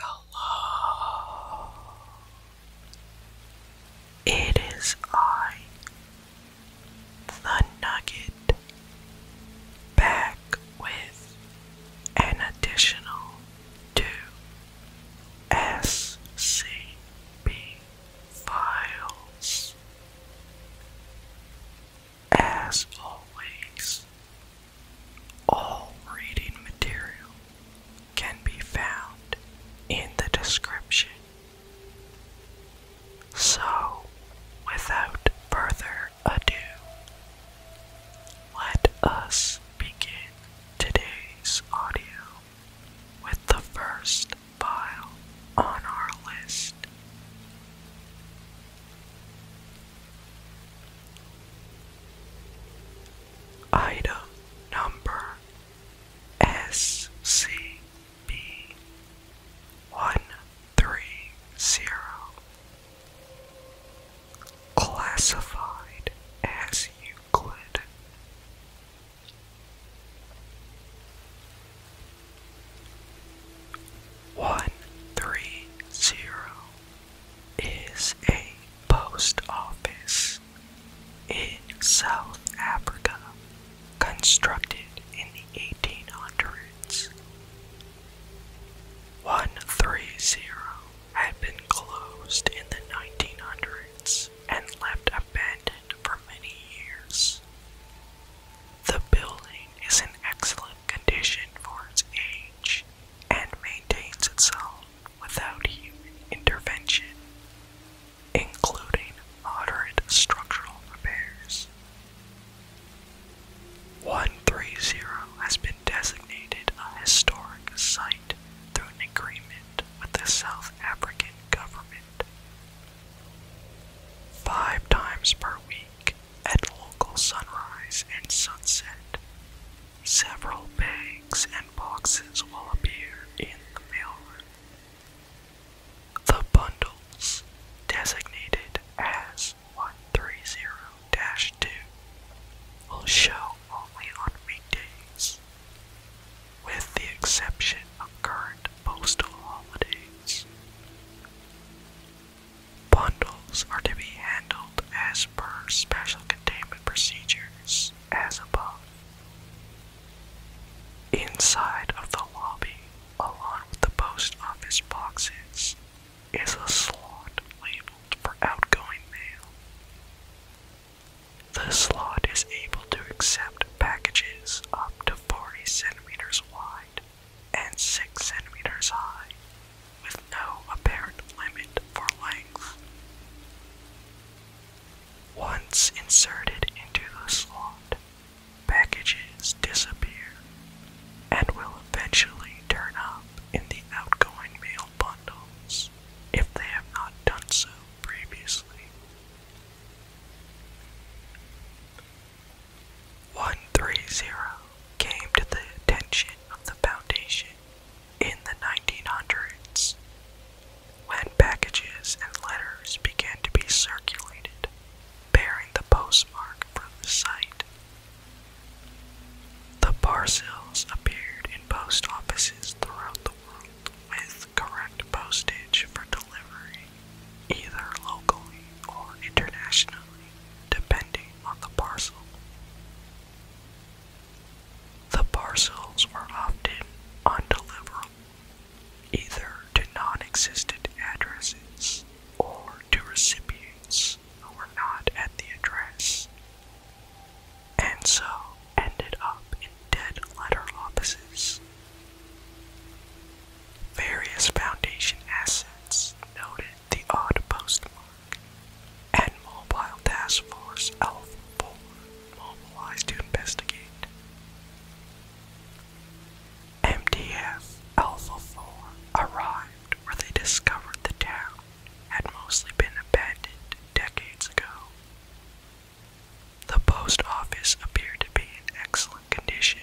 Hello. It is I, the Nugget, back with an additional two SCP files. As always, all reading material can be found in the description. So, without further ado, let us begin today's audio with the first file on our list. Item number SCP 130 classified as you Euclid. One three zero is a post office in South Africa constructed in the 1800s. 130 had been closed in the 1900s and left abandoned for many years. The building is in excellent condition for its age and maintains itself without human intervention, including moderate structural repairs. 130 has been designated a historic site through an agreement with the South African government. Five times per week, at local sunrise and sunset, Several bags and boxes will appear in the mailroom. The bundles, designated as 130-2, will show only on weekdays, with the exception of current postal holidays. Bundles are to be handled as per special containment procedures as above. Inside of the lobby, along with the post office boxes, is a slot labeled for outgoing mail. The slot is able to accept packages up to 40 centimeters wide and 6 centimeters high with no apparent limit for length. Once inserted into the slot, packages disappear and will eventually turn up in the outgoing mail bundles if they have not done so previously. One three zero came to the attention of the Foundation in the 1900s, when packages and letters began to be circulated bearing the postmark from the site, the parcels appeared in post offices throughout the world with correct postage for delivery, either locally or internationally, depending on the parcel. The parcels were often undeliverable, either to non existent addresses or to recipients who were not at the address, and so ended up in dead letter offices. Various foundation assets noted the odd postmark, and Mobile Task Force Alpha 4 mobilized to investigate. MTF Alpha 4 arrived where they discovered the town had mostly been abandoned decades ago. The post office appeared to be in excellent condition,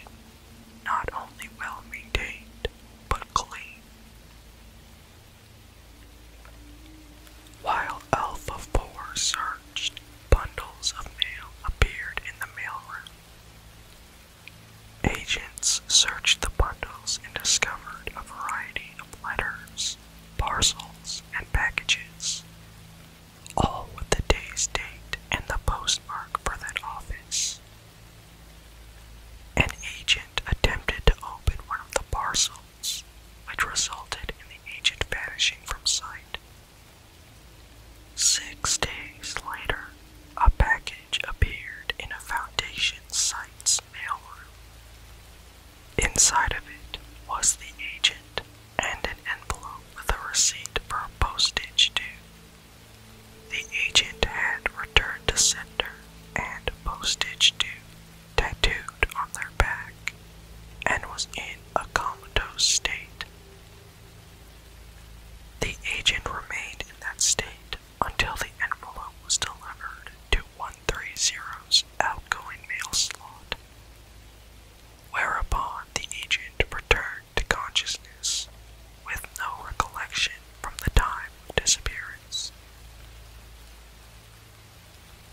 not only well maintained, but clean. While Alpha-4 searched, bundles of mail appeared in the mailroom. Agents searched the bundles and discovered a variety of letters, parcels, and packages, all with the day's date and the postmark for that office. An agent attempted to open one of the parcels, which resulted in the agent vanishing from sight. Six days later, a package appeared in a foundation site's mailroom. Inside of it was the agent and an envelope with a receipt for postage due. The agent had returned to sender and postage due tattooed on their back, and was in a comatose state. The agent remained in that state until the envelope was delivered to 130's outgoing mail slot, whereupon the agent returned to consciousness with no recollection from the time of disappearance.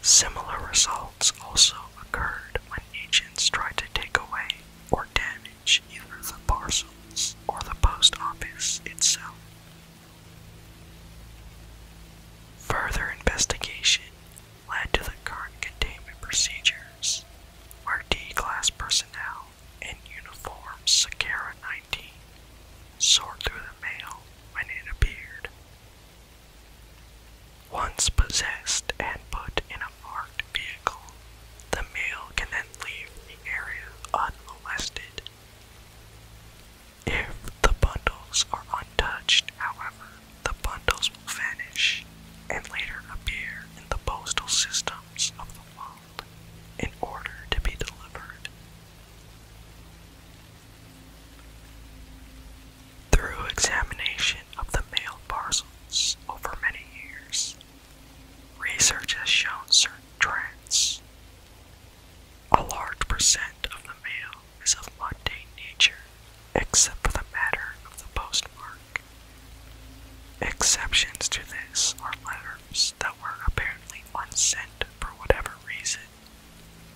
Similar results also occurred when agents tried to take away or damage either the parcels or the post office itself. Further investigation led to the current containment procedures, where D-class personnel in uniform Sakara 19 sort through the mail when it appeared. Once possessed and put in a marked vehicle, the mail can then leave the area unmolested. If the bundles are untouched, however, the bundles will vanish and later appear in the postal systems of the world in order to be delivered through examination of the mail parcels over many years, research has shown certain trends. A large percent of the mail is of mundane nature, except for the matter of the postmark. Exceptions to this are letters that were apparently unsent for whatever reason,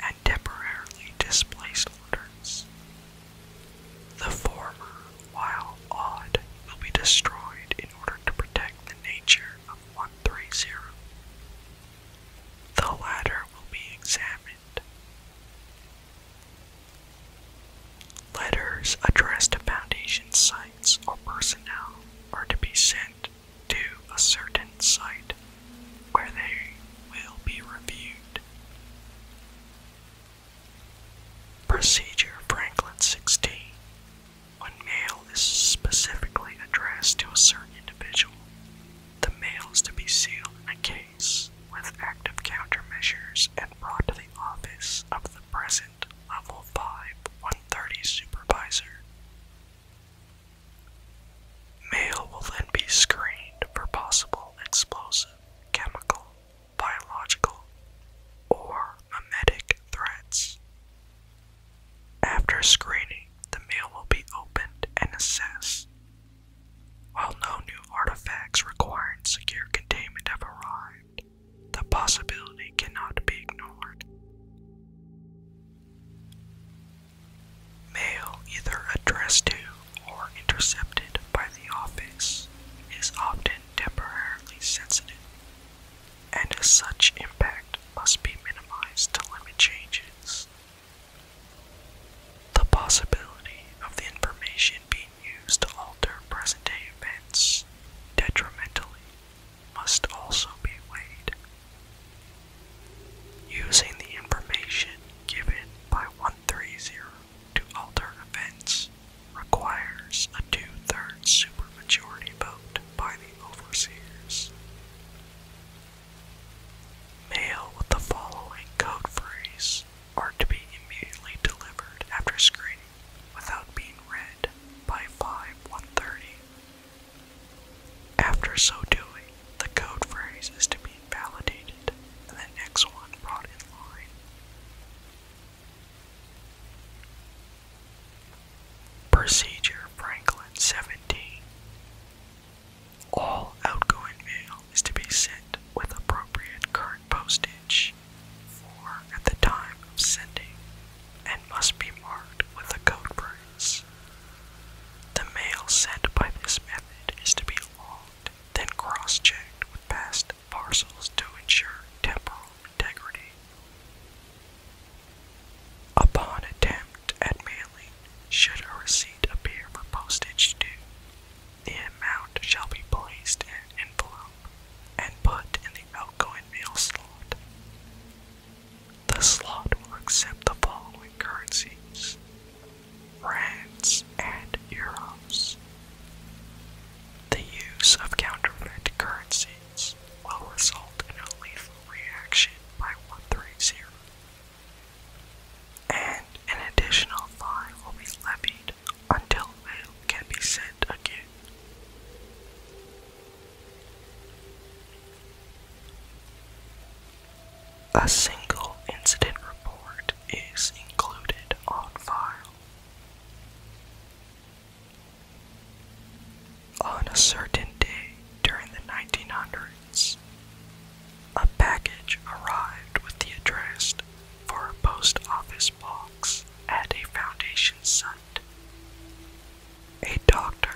and temporarily displaced orders. The former, while odd, will be destroyed in order to protect the nature of 130. The latter will be examined. Letters addressed to foundation sites or personnel are to be sent to a certain site where they will be reviewed. Procedure Franklin 16. When mail is specifically addressed to a certain individual, the mail is to be sealed in a case with active countermeasures and brought to the office of the present Level 5 130 supervisor Mail will then be screened for possible explosive, chemical, biological, or mimetic threats. After screening, the mail will be opened and assessed. While no new artifacts requiring secure containment have arrived, the possibility cannot be ignored. Mail either addressed to or intercepted by the office is often temporarily sensitive, and such impact must be minimized to limit changes. The possibility of the information being used to alter present day events detrimentally must also be weighed. Using the information given by 130 to alter events requires a two-thirds supermajority vote by the overseers. Mail with the following code phrase are to be immediately delivered after screening without being read by 5 after so doing, the code phrase is to be invalidated and the next one brought in line. Procedure Franklin 17. All outgoing mail is to be sent with appropriate current postage for at the time of sending and must be marked with a code phrase. The mail sent by this method is to be logged, then cross checked with past parcels to ensure temporal integrity. Upon attempt at mailing, should a receipt appear for postage due, the amount shall be placed in an envelope and put in the outgoing mail slot. The slot will accept the following currencies rands and euros. The use of counterfeit currencies will result in a lethal reaction by 130, and an additional fine will be levied until mail can be sent again. A single incident report is included on file. On a certain day during the 1900s, a package arrived with the address for a post office box at a foundation site. A doctor,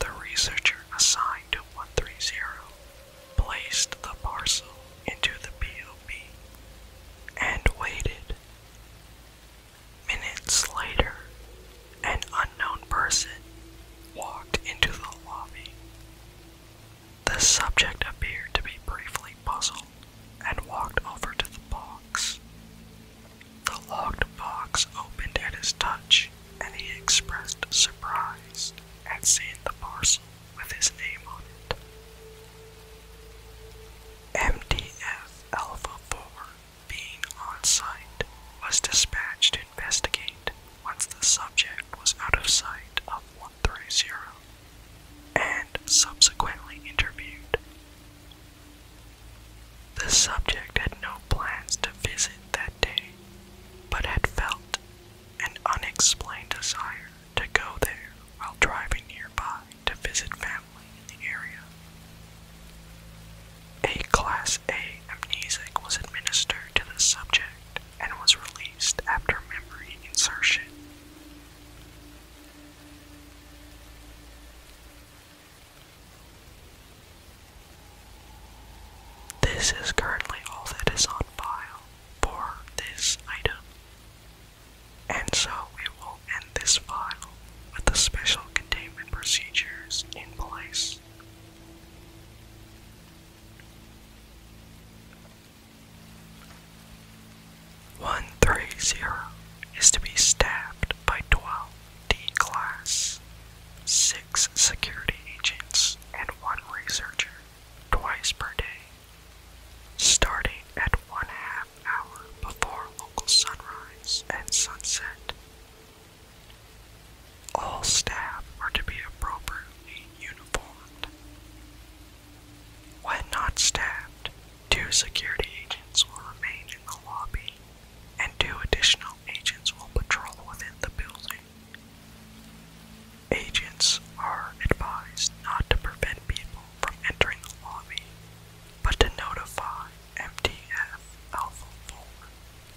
the researcher assigned to 130, placed the parcel into the P.O.P. and waited. Minutes later, an unknown person walked into the lobby. The subject appeared to be briefly puzzled and walked over to the box. The locked box opened at his touch, and he expressed surprise at seeing the parcel with his name on it. MDF Alpha 4, being on site, was dispatched to investigate once the subject was out of sight of 130 and subsequently interviewed. The subject had no plans to visit that day, but had felt an unexplained desire to go there while driving nearby to visit family in the area. A Class A amnesic was administered to the subject and was released after memory insertion. This is currently all that is on file for this item. And so we will end this file with the special containment procedures in place. One three zero is to be stabbed by twelve. D-Class, six security agents, and one researcher twice per day, starting at one half hour before local sunrise and sunset. All staff are to be appropriately uniformed. When not staffed, two security agents will remain in the lobby and two additional agents will patrol within the building. Agents are advised not to prevent people from entering the lobby, but to notify MDF Alpha 4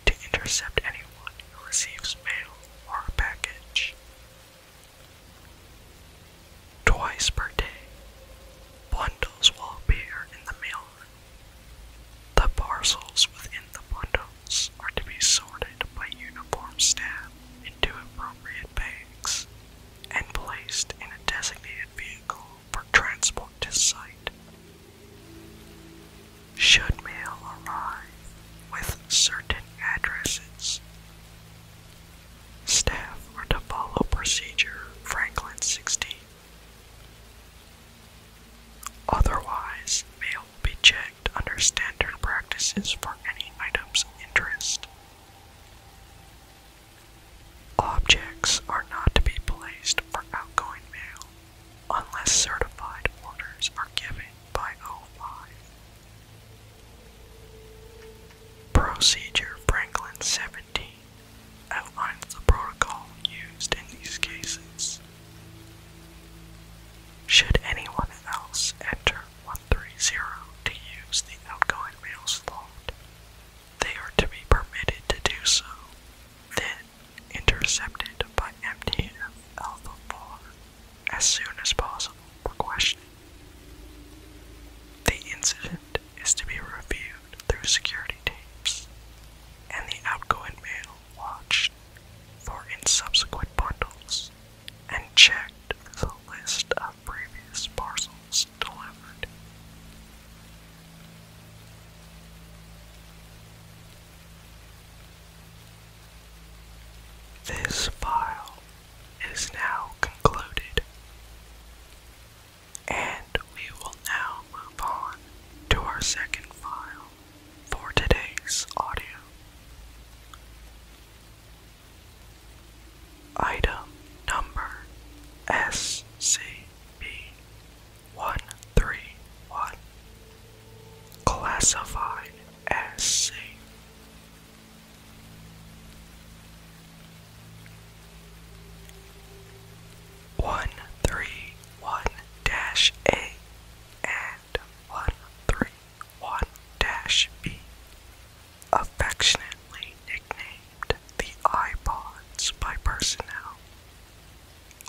to intercept anyone who receives mail or a package. Twice per day, bundles will appear in the mailroom the parcels within the bundles are to be sorted by uniform staff into appropriate bags and placed in a designated vehicle for transport to site. Should mail arrive with certain addresses, staff are to follow procedure Franklin 16 Otherwise, mail will be checked under standard practices for any items of interest. Objects are not to be placed for outgoing mail unless certified orders are given by O5. Procedure Franklin 17 outlines the protocol used in these cases. Should anyone else enter 130 to use the outgoing mail slot, they are to be permitted to do so, then intercepted by MTF Alpha 4 as soon as possible for questioning. The incident is to be reviewed through security tapes, and the outgoing mail watched for in subsequent bundles and checked the list of previous parcels delivered. This file is now concluded, and we will now move on to our second file, for today's audio. Item number SCP-131 Classified as one three one dash A and one three one dash B, affectionately nicknamed the iPods by personnel,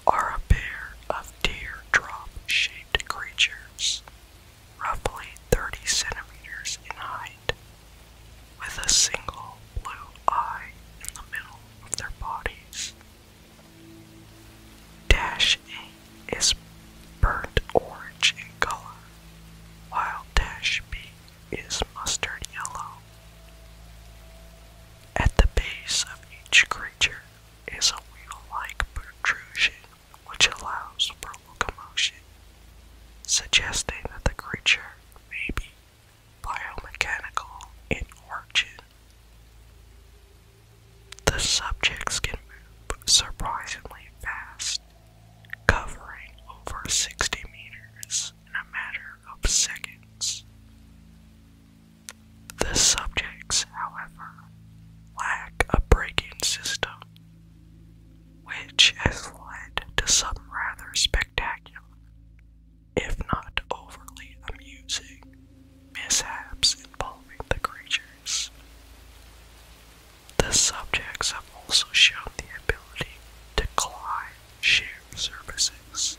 are a pair of teardrop-shaped creatures, roughly 30 centimeters in height, with a single blue eye in the middle of their bodies. Dash A is burnt orange in color, while dash B is mustard yellow. At the base of each creature is a wheel-like protrusion which allows for locomotion, suggesting that the creature may be biomechanical, and origin. The subjects can move surprisingly fast, covering over 60 meters in a matter of seconds. The subjects, however, lack a braking system, which has led to some rather spectacular if not overly amusing, mishaps involving the creatures. The subjects have also shown the ability to climb sheer surfaces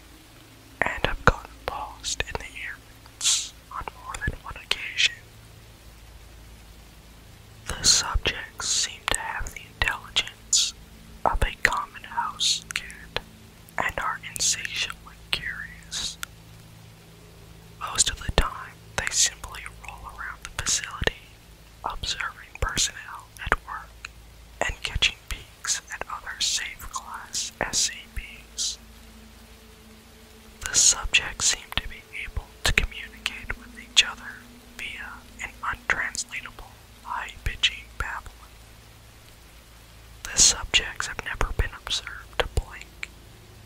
and have gotten lost in the airwaves on more than one occasion. The subjects seem to have the intelligence of a common house cat and are insatiably curious. Most of the time, they simply roll around the facility, observing personnel at work and catching peeks at other safe class SCPs. The subjects seem to be able to communicate with each other via an untranslatable, high pitching babble. The subjects have never been observed to blink,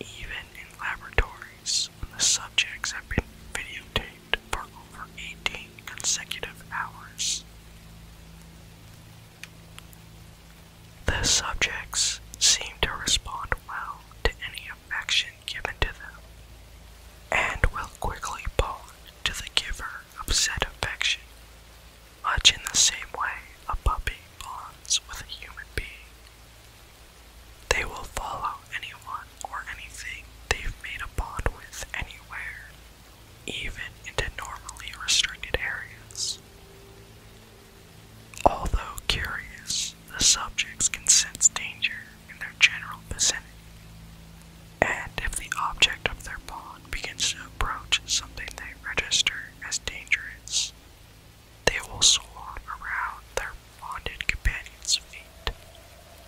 even in laboratories when the subjects have been videotaped for over 18 consecutive hours. The subjects seem to respond well to any affection given to them and will quickly bond to the giver upset affection, much in the same way a puppy bonds with a human being. They will follow anyone or anything they've made a bond with anywhere, even into normally restricted areas. Although curious, the subjects can sense danger in their general vicinity, and if the object of their bond begins to approach something they they register as dangerous, they will swan around their bonded companions' feet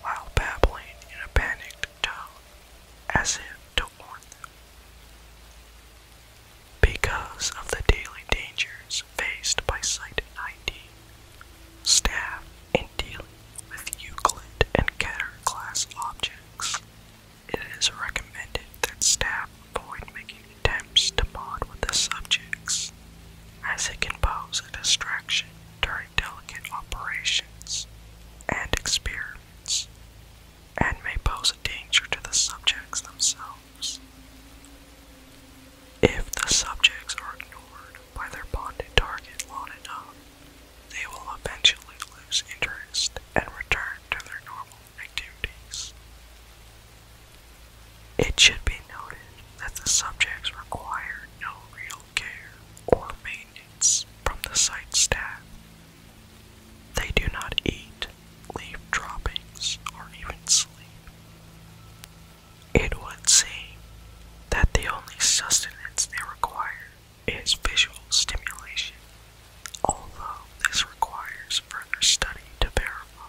while babbling in a panicked tone as if to warn them. Because of the daily dangers faced by Site 19, staff in dealing with Euclid and Keter class objects it is recommended that staff avoid making attempts to bond with the subjects, as it can pose a distraction during delicate operations and experiments, and may pose a danger to the subjects themselves. If the subjects are ignored by their bonded target long enough, they will eventually lose interest and return to their normal activities. It should be noted that the subjects require no real care or maintenance from the site staff. They do not eat, leave droppings, or even sleep. It would seem that the only sustenance they require is visual stimulation although this requires further study to verify.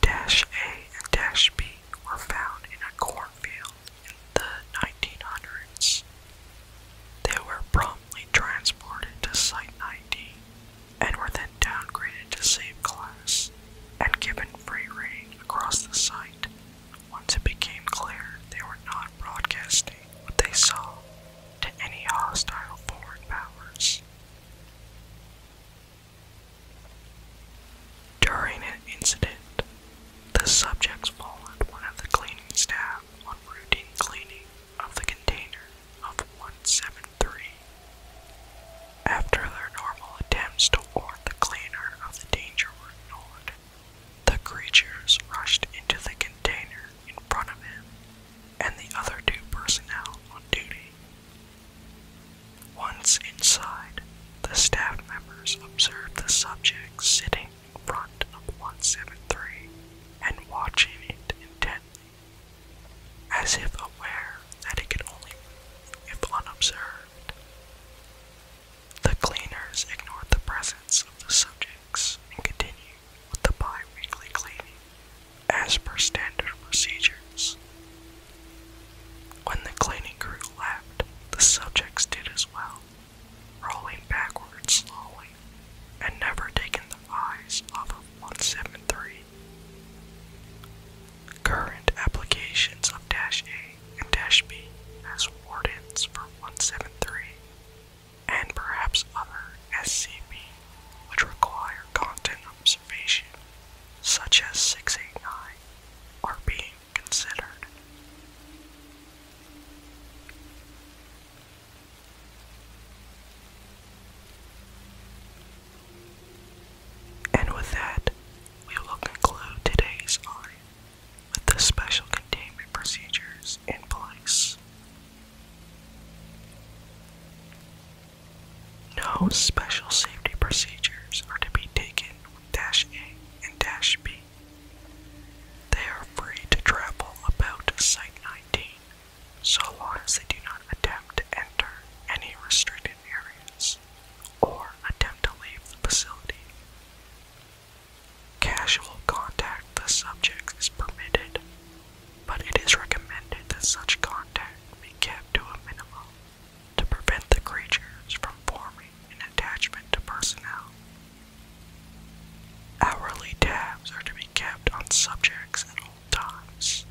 Dash A and Dash B were found in a cornfield in the 1900s. They were promptly transported to Site 19 and were then downgraded to Safe Class and given free reign across the site once it became clear they were not broadcasting what they saw to any hostile foreign powers. During an incident, the subjects followed one of the cleaning staff on routine cleaning of the container of 173. After their normal attempts to warn the cleaner of the danger were ignored, the creatures rushed into the container in front of him and the other two personnel on duty. Once inside, the staff members observed the subject sitting in front of 173 and watching it intently, as if aware that it could only move if unobserved. The cleaners ignored the presence of the subjects and continued with the bi-weekly cleaning as per standard procedures. When the cleaning crew left, the subjects did as well, rolling backwards slowly and never taking their eyes off of 173. Current applications of Dash A and Dash B as wardens for 173 and perhaps other SCP which require content observation, such as 689, are being considered. And with that, we will conclude today's audio with the special containment procedures in place. No special safety procedures are to be taken Dash A and Dash B. They are free to travel about Site 19 so long as they do not attempt to enter any restricted areas or attempt to leave the facility. Casual contact with subjects is permitted, but it is recommended that such contact be kept to a minimum to prevent the creatures from forming an attachment to personnel. Hourly tabs are to be kept on subjects at all times.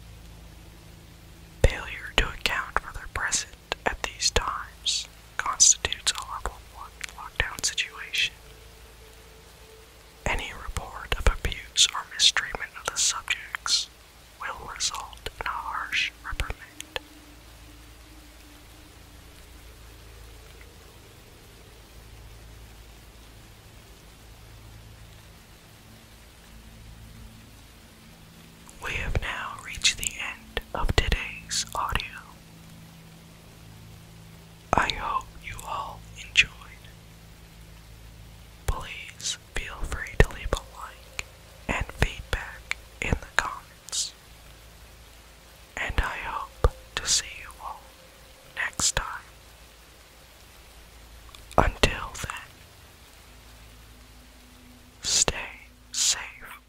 Failure to account for their presence at these times constitutes a horrible lockdown situation. Any report of abuse or mistreatment of the subjects will result in a harsh reprimand. We have now reached the end of today's audio. I hope you all enjoyed. Please feel free to leave a like and feedback in the comments. And I hope to see you all next time. Until then, stay safe.